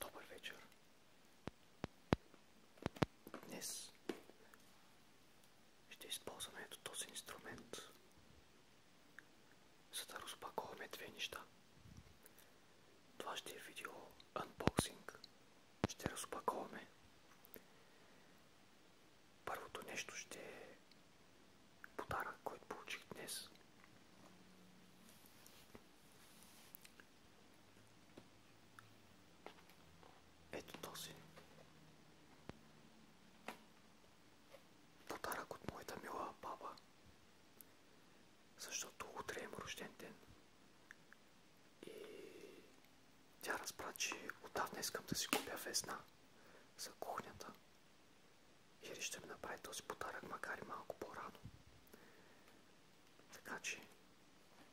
Добър вечер. Днес ще използваме ето този инструмент, за да разпаковаме две неща. Това ще е видео анбоксинг. Ще разпаковаме. Първото нещо ще е подарък, който получих днес. Ето този. Подарък от моята мила баба. Защото утре е рожден ден. И тя разбра, че отдавна искам да си купя везна за кухнята. Или ще ми направи този подарък, макар и малко по-рано. Така че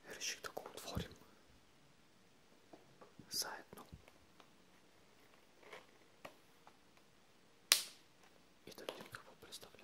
реших да го отворим заедно. И да видим какво представлява.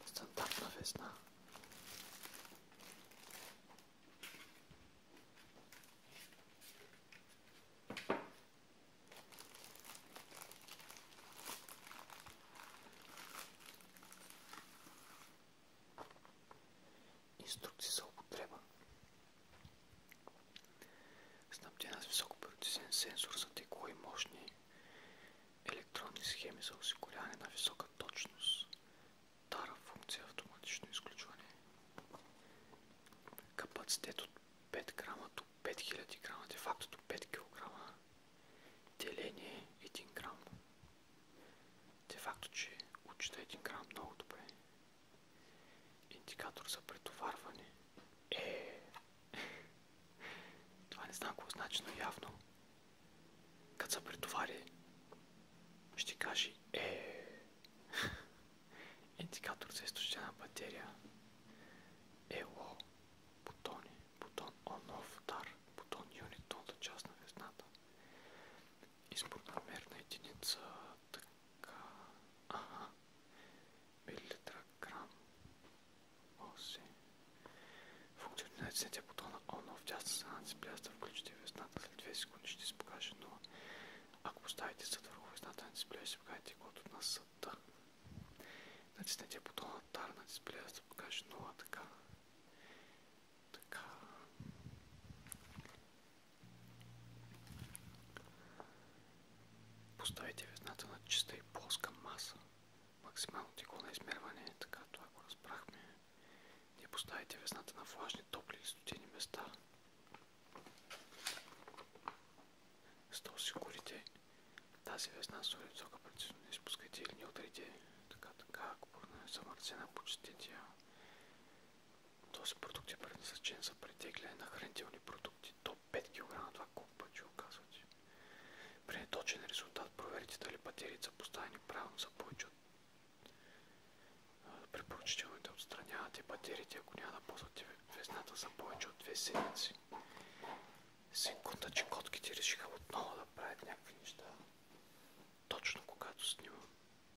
Następna wysna. Instrukcje za употреба. Снабдена е с високопроцесен сенсор за тегло и мощни електронни схеми за осигуряване на висока точност. Тара функция автоматично изключване. Капацитет от 5 грама до 5000 грама, де факто до 5 кг. Деление 1 грам. Де факто, че отчита 1 грам много добре. Индикатор за претоварване. Е, това не знам какво значи, но явно. Като се претовари, ще кажи е. Индикатор за източена батерия. Ело. Бутони. Бутон on off дар. Бутон unit, тонта част на везната. Избор мерна единица. Така aha Милитраграм. Оси. Функционалният сетя бутона ON в част с анци пляста включите весната. След 2 секунди ще се покаже 0. Ако поставите съд върху весната на дисплея, ще покажете код на съда. Натиснете бутона TAR на дисплея, да покаже 0. Така. Така. Поставите везната на чиста и плоска маса. Максимално тегло на измерване, така това го разбрахме. Не поставите везната на влажни, топли и студени места. За да осигурите тази везна с висока прецизност, не изпускайте или не ударите така, така, ако е замърсена, почистете я. Този продукт е предназначен за претегляне на хранителни продукти до 5 кг, това колко пъти оказва ти. При точен резултат проверите дали батериите са поставени правилно за повече от препоръчително да отстранявате батериите, ако няма да ползвате везната за повече от 2 седмици. Секунда, че котките решиха отново да правят някакви неща. Точно когато снимам.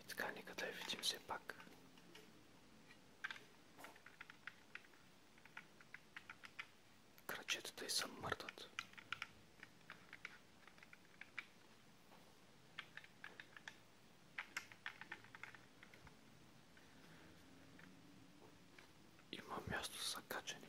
И така, нека да я видим все пак. Крачетата и съм мъртват. Има място за качане.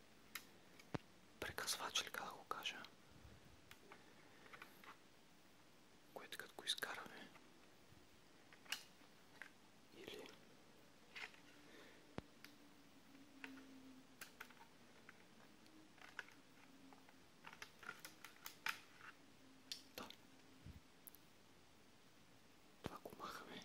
прекъсвач ли да го кажа, което като го изкараме или Това го махаме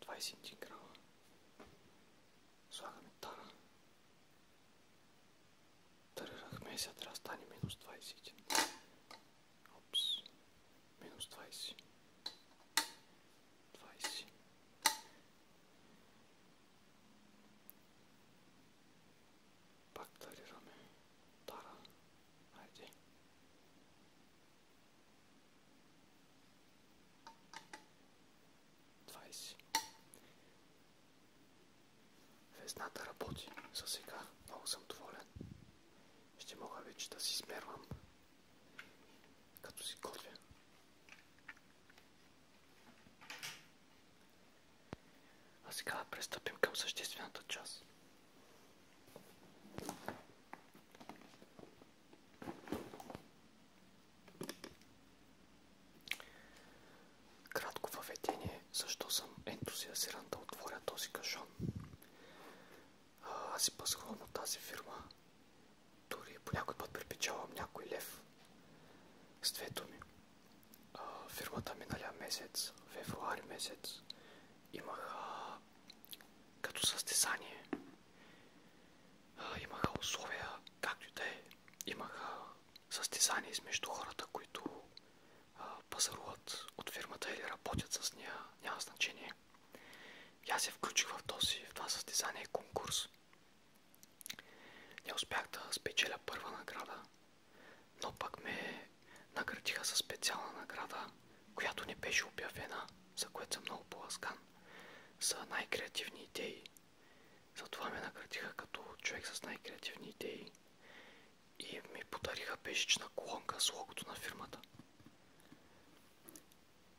21 грама. Слагаме тара. Тарирахме, сега трябва да стане минус 21. Опс. Минус 20. 20. Пак тарираме. Тара. Хайде. 20. работи. За сега много съм доволен. Ще мога вече да си смервам, като си готвя. А сега да престъпим към съществената част. Кратко въведение, защо съм ентусиазиран да отворя този кашон. Аз си пасхвам от тази фирма. Дори по някой път припечавам някой лев. С две думи. А, фирмата миналия месец, февруари месец, имах а, като състезание Имаха условия, както и да е. Имаха състезания измежду хората, които пазаруват от фирмата или работят с нея, няма значение. И аз се включих в, този, това състезание конкурс. Не успях да спечеля първа награда, но пък ме наградиха със специална награда която не беше обявена, за което съм много поласкан, за най-креативни идеи. Затова ме наградиха като човек с най-креативни идеи и ми подариха пешечна колонка с логото на фирмата.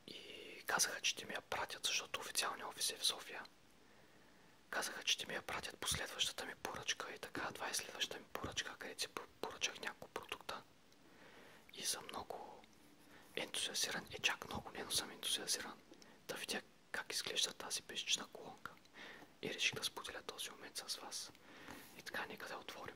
И казаха, че те ми я пратят, защото официалния офис е в София. Казаха, че те ми я пратят последващата ми поръчка и така, това е следващата ми поръчка, където си поръчах няколко продукта. И съм много ентусиазиран. Е, чак много не, но съм ентусиазиран да видя как изглежда тази пещична колонка. И реших да споделя този момент с вас. И така, нека да отворим.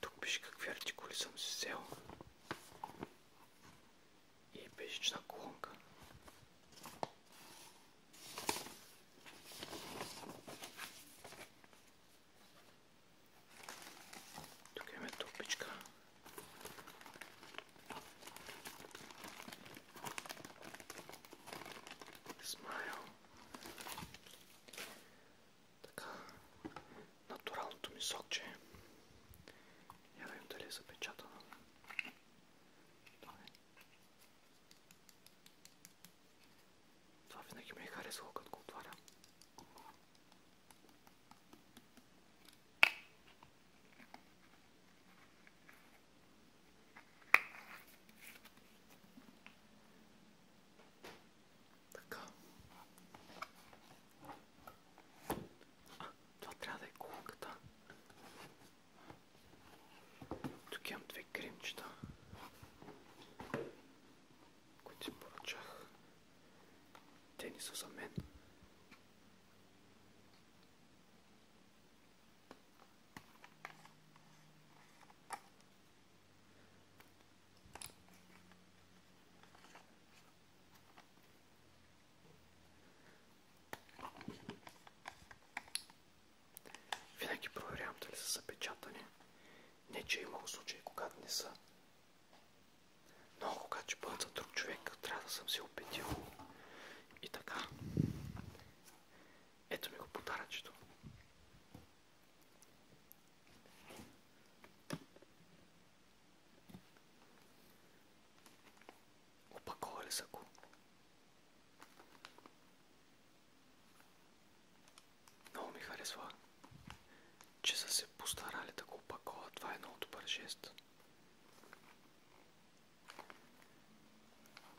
Тук пише какви артикули съм си взел. И е пешечна колонка. Тук имаме тупичка. Смайл. Така, натуралното ми сокче. Я да видим дали е запечатано. Това, е. Това винаги ми е харесало, като го отварям. Така. А, това трябва да е колонката. Тук имам две кремчета, които си поръчах. Те не са за мен. Винаги проверявам дали са запечатани. Не, че е имало случаи, когато не са. Но когато ще бъдат за друг човек, трябва да съм се опитил. И така. Ето ми го подаръчето. Опаковали са Много ми харесва, че са се постарали да го Това е много добър жест.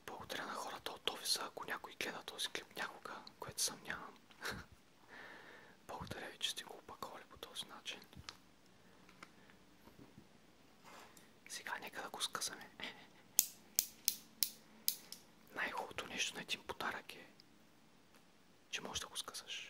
Благодаря на хората от офиса, ако някой гледа този клип някога, което съм няма. Благодаря ви, че сте го опаковали по този начин. Сега нека да го скъсаме. Най-хубавото нещо на един подарък е, че можеш да го скъсаш.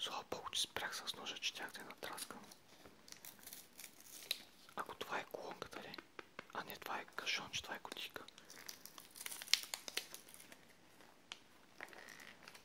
Слава Богу, че спрях с ножа, че тях да я натраскам. Ако това е колонката ли? А не, това е кашон, че това е котика.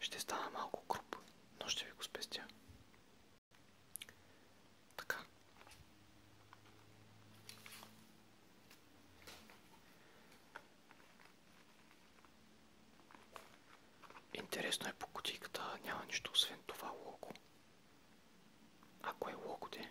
Ще стана малко круп. но ще ви го спестя. Така. Интересно е по кутийката, няма нищо освен това лого. Ако е логоте,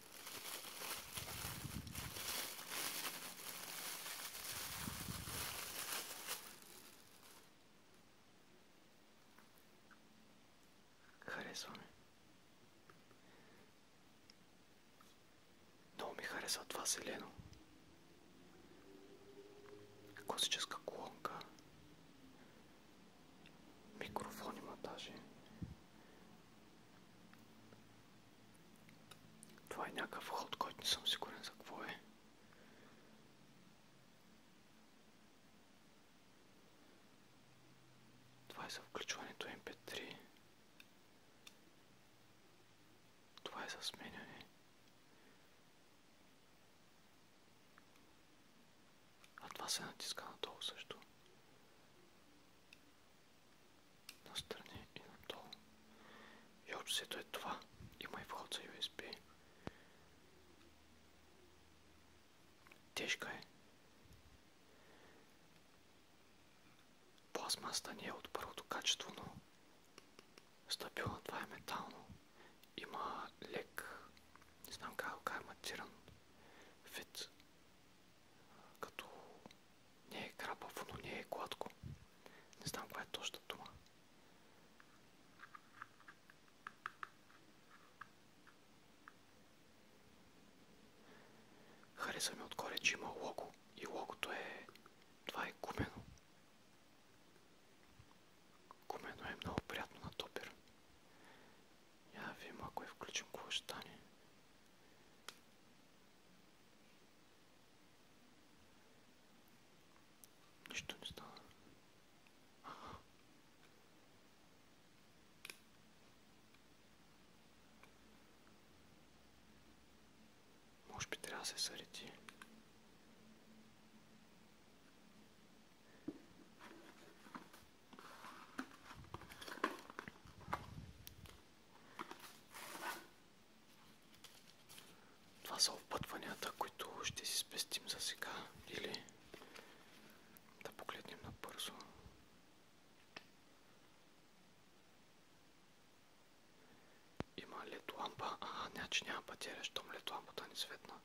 Харесваме. Много ми харесва това зелено. Класическа колонка. Микрофон има даже. Това е някакъв ход, който не съм сигурен за какво е. Това е за включването MP3. Това е за сменяне. А това се натиска надолу също. Настрани и надолу. И общо е това. Има и вход за USB. Тежка е. Пластмаста не е от първото качество, но стабилна. Това е метално. Има лек, не знам как е кажа, матиран вид като не е крапаво, но не е гладко. Не знам коя е точната дума. Хареса ми отгоре, че има лого и логото е... Това е гумено. Гумено е много приятно на топер. Я видим, ако я е включим, какво ще стане. Нищо не Може би трябва да се съреди. Това са опътванията, които ще си спестим за сега или да погледнем набързо. Има лед лампа. А, не, значи че няма батерия, щом лед ни светна.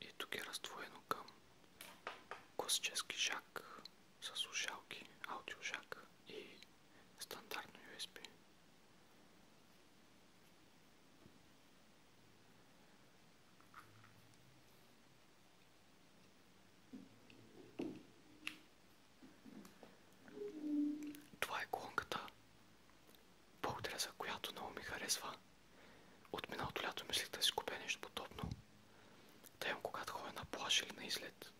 и тук е разтвоено към класически жак с слушалки, аудиожак и стандартно USB. Това е клонката, от миналото лято мислих да си купя нещо подобно. Тъй когато ходя на плаж или на излет.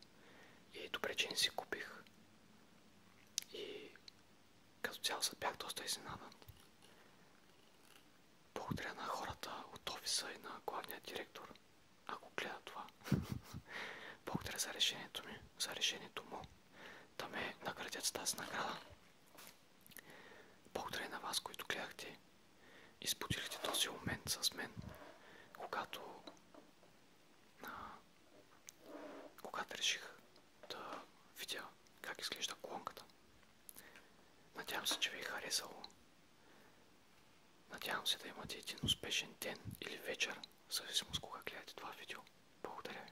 И е добре, че не си купих. И като цяло се бях доста изненадан. Благодаря на хората от офиса и на главния директор, ако гледа това. Благодаря за решението ми, за решението му да ме наградят с тази награда. Благодаря е на вас, които гледахте и споделихте този момент с мен, когато а, когато реших да видя как изглежда клонката. Надявам се, че ви е харесало. Надявам се да имате един успешен ден или вечер, в зависимост кога гледате това видео. Благодаря